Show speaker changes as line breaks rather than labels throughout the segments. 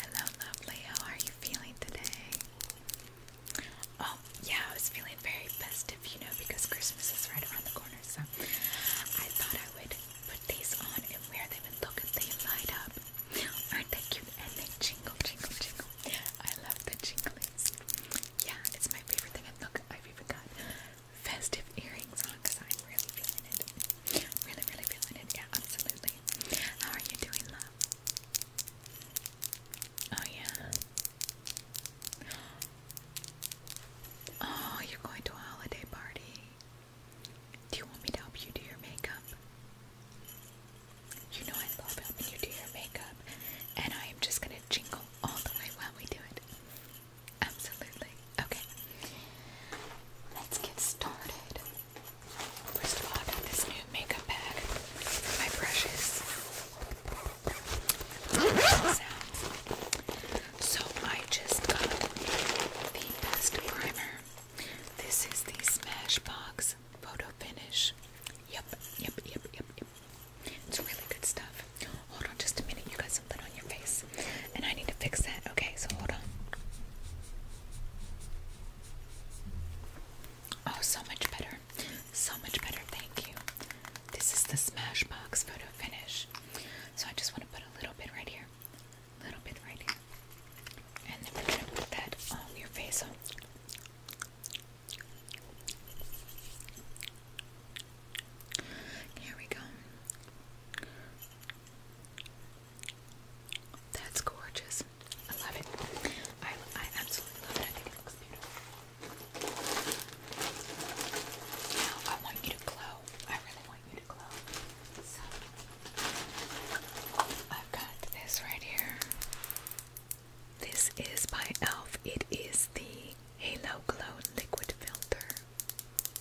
Hello, lovely. How are you feeling today? Oh, yeah, I was feeling very festive, you know, because Christmas is right around the corner, so I thought I would put these on and wear them look they light up. Aren't they cute? And they jingle, jingle, jingle. I love the jinglies. Yeah, it's my favorite thing. And look, I've even got festive earrings on because I'm really feeling it. Really, really feeling it. Yeah, absolutely. How are you doing, love? Oh, yeah. Oh, you're going to a holiday party. Do you want me to help you do your makeup? You know I love helping you do your makeup, and I am just gonna jingle all the way while we do it. Absolutely. Okay. Let's get started. First of all, I got this new makeup bag for my brushes. So I just got the best primer. This is the Smashbox Photo Finish. Yep, yep, yep, yep, yep. It's really good stuff. Hold on just a minute, you got something on your face this. And I need to fix that. Okay, so hold on. Oh, so much better. So much better. Thank you. This is the Smashbox photo finish. So I just want to put a little bit right here. little bit right here. And then we're going to put that on your face. Here we go. That's gorgeous. I love it. I, absolutely love it. I think it looks beautiful. Now I want you to glow. I really want you to glow. So I've got this right here. This is by e.l.f. It is the Halo Glow Liquid Filter.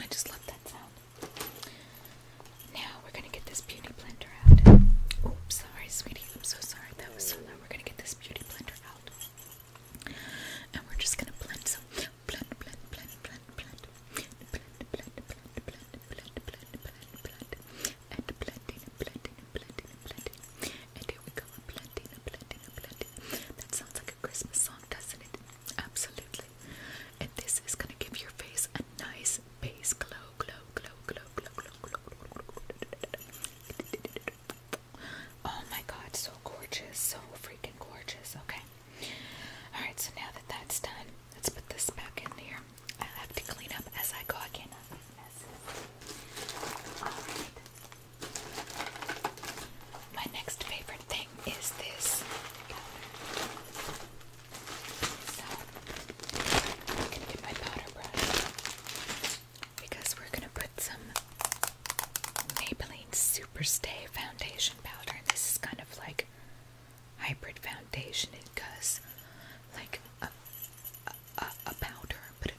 I just love that sound. Now we're gonna get this beauty blender out. Oops, sorry, sweetie. I'm so sorry. That was so loud. We're gonna get this beauty blender out. And we're just gonna blend some blend, blend, blend, blend, blend, blend, blend, blend, blend, blend, blend, blend, blend, and blending and blending and blending and blending. And here go. Platina, Platina, Platina. That sounds like a Christmas song, doesn't it? Absolutely. And this is gonna give your face a nice base glow, glow, glow, glow, glow, glow, glow. Oh my god, so gorgeous, so freaking gorgeous. Okay. Alright, so now that that's done, let's put this back in here. I have to clean up as I go. I cannot leave messes. Alright. My next favorite thing is this powder. So, I'm get my powder brush because we're going to put some Maybelline Superstay foundation powder. And this is kind of like hybrid foundation. because, like a powder, but it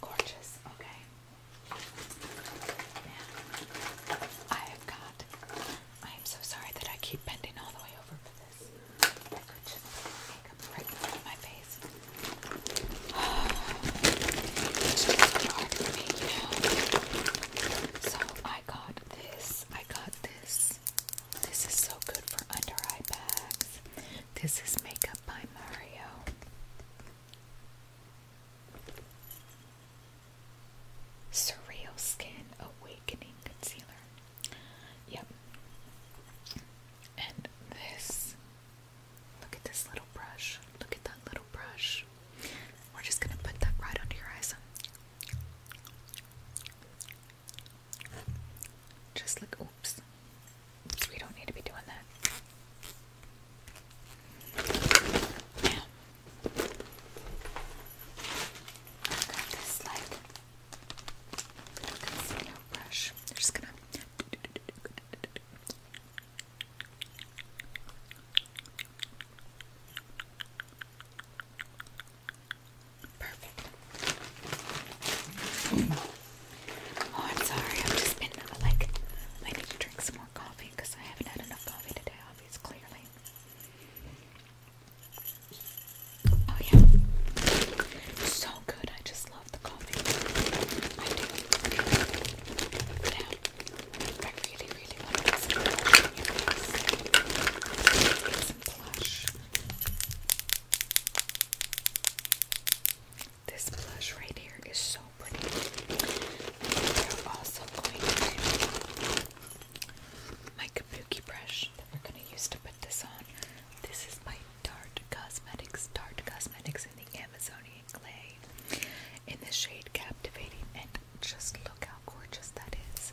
Gorgeous, okay. Now, I have got, I am so sorry that I keep bending all the way over for this. I could right in my face. It's So I got this, I got this, this is so good for under eye bags. This is Makeup by Mario. Surreal Skin Awakening Concealer. Yep. And this. Look at this little brush. Look at that little brush. We're just going to put that right under your eyes. Just like, oops. we don't need to be doing that. i got this like concealer brush. I'm just gonna. Perfect. Oh, I'm sorry. I've just been like, I need to drink some more coffee because I haven't had enough coffee today, obviously, Oh, yeah. So good. I just love the coffee. I really, really want to plush. This blush right here is so pretty. also my kabuki brush that we're going to use to put this on. This is my Tarte Cosmetics, Tarte Cosmetics in the Amazonian Clay in the shade Captivating, and just look how gorgeous that is.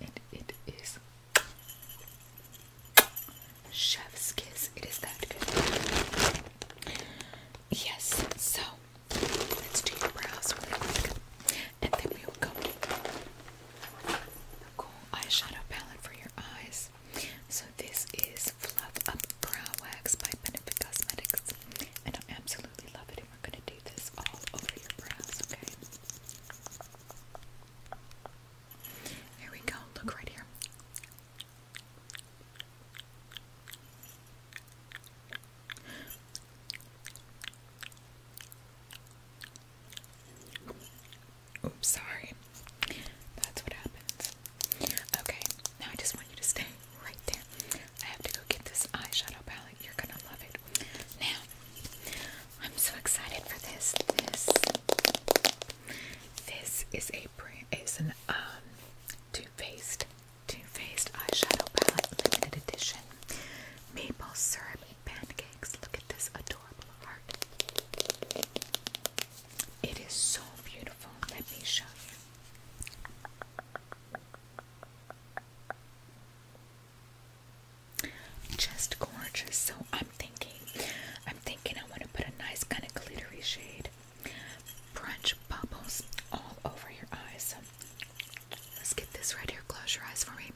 and it is chef's kiss. It is that good. Yes, so let's do your brows real quick, and then we will go the cool eyeshadow palette for your eyes. So this is Fluff Up Brow Wax by Benefit Cosmetics, and I absolutely love it. And we're gonna do this all over your brows, okay? Here we go, look right here. Oops, sorry. That's what happens. Okay, now I just want you to stay right there. I have to go get this eyeshadow palette you're gonna love it. Now, I'm so excited for this. This this is a brand It's an um Too Faced Too Faced eyeshadow palette limited edition. Maple syrup pancakes. Look at this adorable heart. It is so beautiful. Let me show you. Just gorgeous. So I'm thinking, I'm thinking I want to put a nice kind of glittery shade. Brunch bubbles all over your eyes. let's get this right here. Close your eyes for me.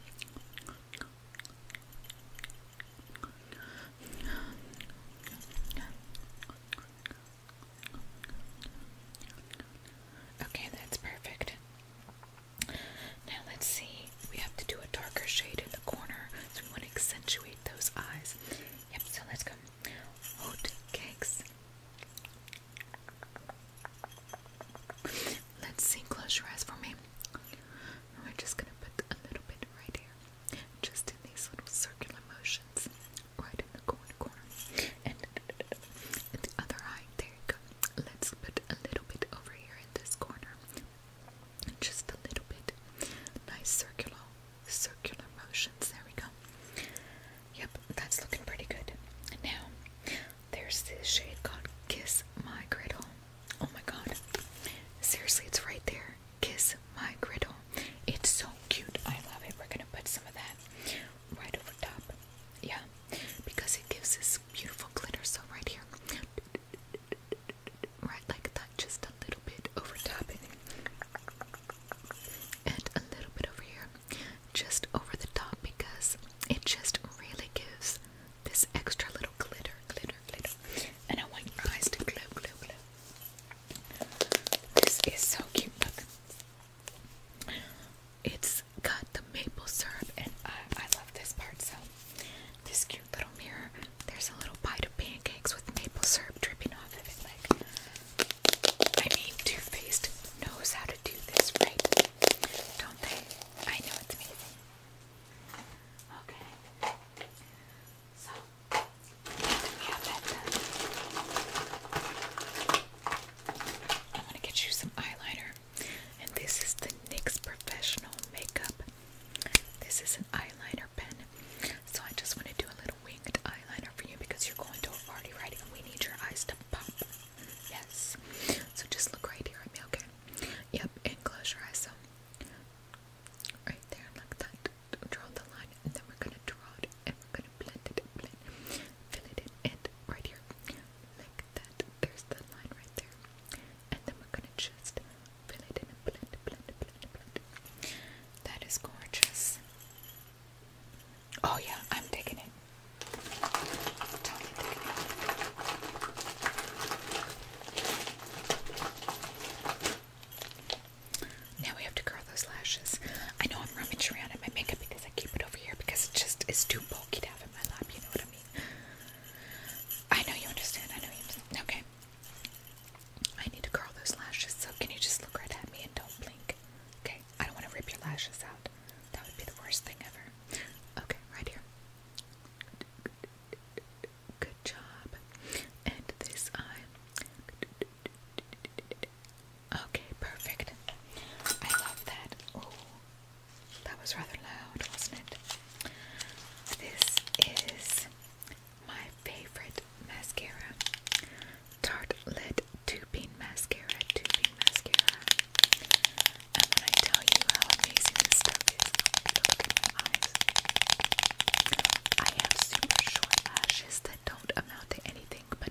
Okay, that's perfect. Now let's see. We have to do a darker shade in the corner, so we want to accentuate those eyes. Yep, so let's go. Oat cakes. Let's see. Close your eyes for me. And we just gonna put a little bit right here, just in these little circular motions, right in the corner. corner and, the other eye. There you go. Let's put a little bit over here in this corner. Just a little bit. Nice circular, circular motions. There we go. Yep, that's looking pretty good. And now, there's this shade called Kiss My Griddle. Oh my god. Seriously, it's right there. Kiss My Griddle. It's so cute. I love it. We're gonna put some of that right over top. Yeah, because it gives this beautiful glitter. So right here, right like that, just a little bit over top and a little bit over here, just over the top because it just really gives this extra little glitter, glitter, glitter. And I want your eyes to glow, glow, glow. This is so cute. Look. It's Cut the maple syrup, and I, love this part. So, this cute little mirror, there's a little bite of pancakes with maple syrup dripping off of it. Like, I mean, Too Faced knows how to do this right, don't they? I know it's amazing. Okay. So, we have that done. I'm gonna get you some eyeliner, and this is the NYX Professional Makeup. This is an eyeliner pen, so I just want to do a little winged eyeliner for you because you're going to a party, right? And we need your eyes to pop. Yes. So just look right here at me, okay? Yep, and close your eyes. So right there, like that. Draw the line, and then we're gonna draw it, and we blend it, blend, fill it in, and right here, like that, there's the line right there, and then we're gonna just fill it in and blend, blend, blend, blend. That is gorgeous. Oh yeah, I'm taking it. Now we have to those lashes? I know I'm rummaging around in my makeup because I keep it over here because it just is too bulky to have in my lap, you know what I mean? I know you understand, I know you understand. Okay. I need to curl those lashes, so can you just look right at me and don't blink? Okay, I don't want to rip your lashes out. That would be the worst thing ever. Okay, right here. Good job. And this eye. Okay, perfect. I love that. Oh, that was rather loud, wasn't it? This is my favorite mascara. Tarte Lid Two Mascara, Two Mascara. And I tell you how amazing this stuff is, look at eyes. I have super short lashes that don't amount to anything but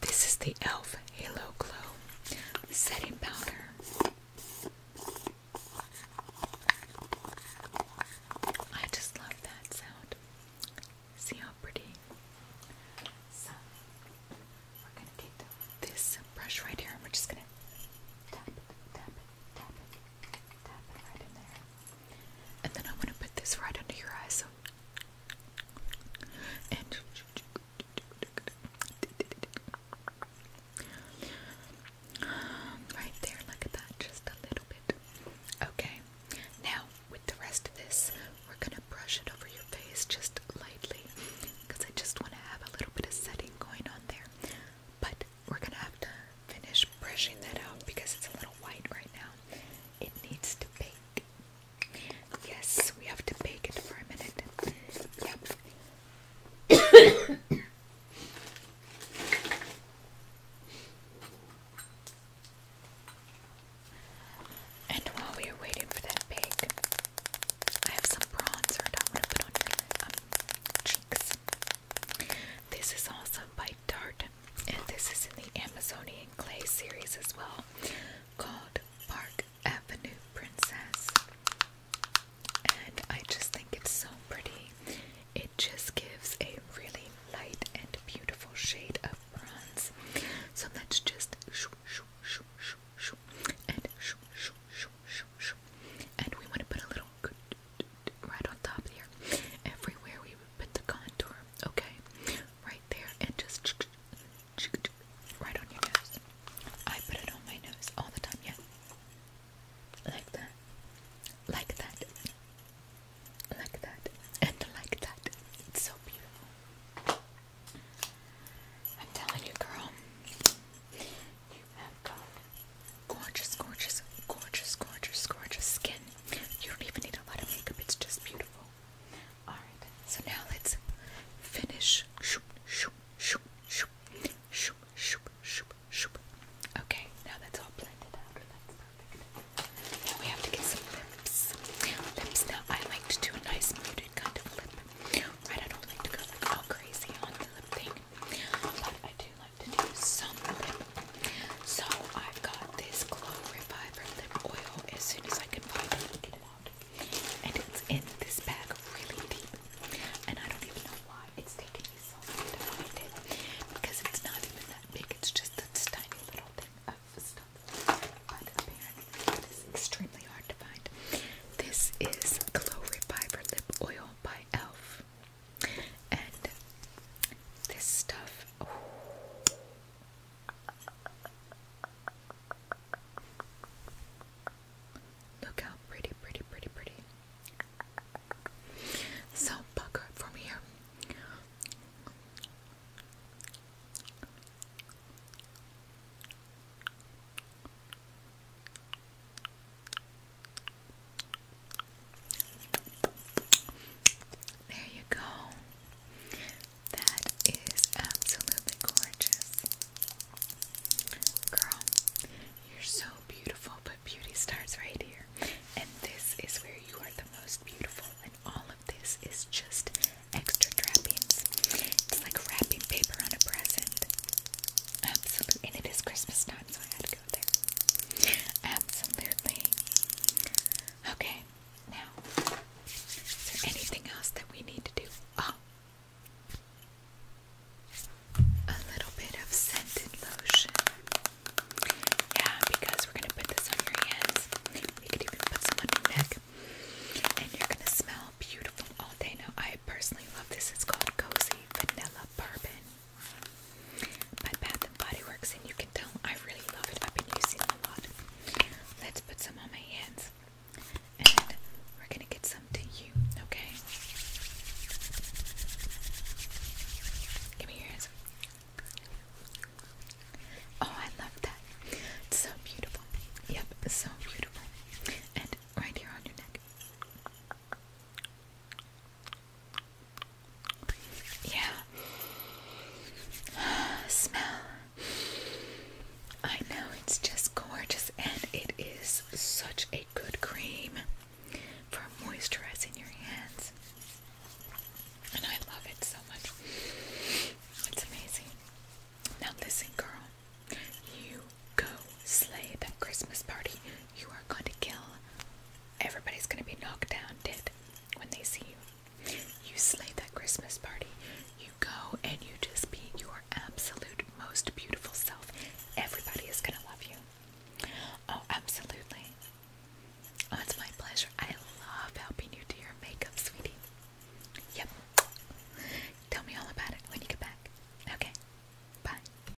This is the e.l.f. Halo Glow Setting Powder. I just love that sound. See how pretty. we're going to take this brush right here and we're just going to tap, tap, tap, tap it right in there. And then I'm going to put this right under your eyes so right there, look at that, just a little bit. Okay, now with the rest of this, we're gonna brush it over your face just lightly because I just want to have a little bit of setting going on there. But we're gonna have to finish brushing that out because it's a little white right now. It needs to be. Yes, we have to bake it for a minute. Yep. and while we are waiting for that bake, I have some bronzer that I'm going to put on your um, cheeks. This is also by Tarte and this is in the Amazonian Clay series as well, called Park Avenue Princess. And I just think it's so pretty. It just gives a really light and beautiful shade of bronze. So let's just and and we want to put a little right on top here. Everywhere we put the contour, okay, right there, and just right on your nose. I put it on my nose all the time, yeah. Like that, like that, like that, and like that. It's so beautiful. I'm telling you, girl, you have gorgeous, gorgeous, gorgeous, gorgeous, gorgeous skin. You don't even need a lot of makeup, it's just beautiful. Alright, so now let's finish. Shoop, shoop, shoop, shoop, shoop, shoop, shoop, shoop. Okay, now that's all blended out. That's perfect. Now we have to get some lips. Lips, now I like to do a nice muted kind of lip. Right, I don't like to go crazy on the lip thing, but I do love to do something. So I've got this Glow Reviver Lip Oil as soon as I can find it, And it's in this bag really deep. And I don't even know why it's taking me so long to find it. Because it's not even that big, it's just this tiny little thing of stuff. But apparently extremely hard to find. This is Glow Reviver Lip Oil by e.l.f. And this stuff. Oh. Look how pretty, pretty, pretty, pretty. So, buck from here. There you go. That is absolutely gorgeous. Girl, you're so beautiful, but beauty starts right here. And this is where you are the most beautiful, and all of this is just extra trappings. It's like wrapping paper on a present. Absolutely. And it is Christmas time, so Absolutely. Okay, now, is there anything else that we need to do? Oh. A little bit of scented lotion. Yeah, because we're gonna put this on your hands. We could even put some on your neck. And you're gonna smell beautiful all day. Now I personally love this. It's called Cozy Vanilla Bourbon by Bath and Body Works, and you can tell I really love it. I've been using a lot. Let's put some on my hands, and we're gonna get some to you. Okay? Give me your Oh, I love that. It's so beautiful. Yep, so beautiful. And right here on your neck. Yeah. Smell. I know it's just gorgeous and it is such a good cream for moisturizing your hands. And I love it so much. It's amazing. Now listen, girl. You go slay that Christmas party. You are going to kill Everybody's gonna be knocked down dead when they see you. You slay that Christmas party. You go and you just be your absolute most beautiful self. Everybody is gonna love you. Oh, absolutely. Oh, it's my pleasure. I love helping you do your makeup, sweetie. Yep. Tell me all about it when you get back. Okay. Bye.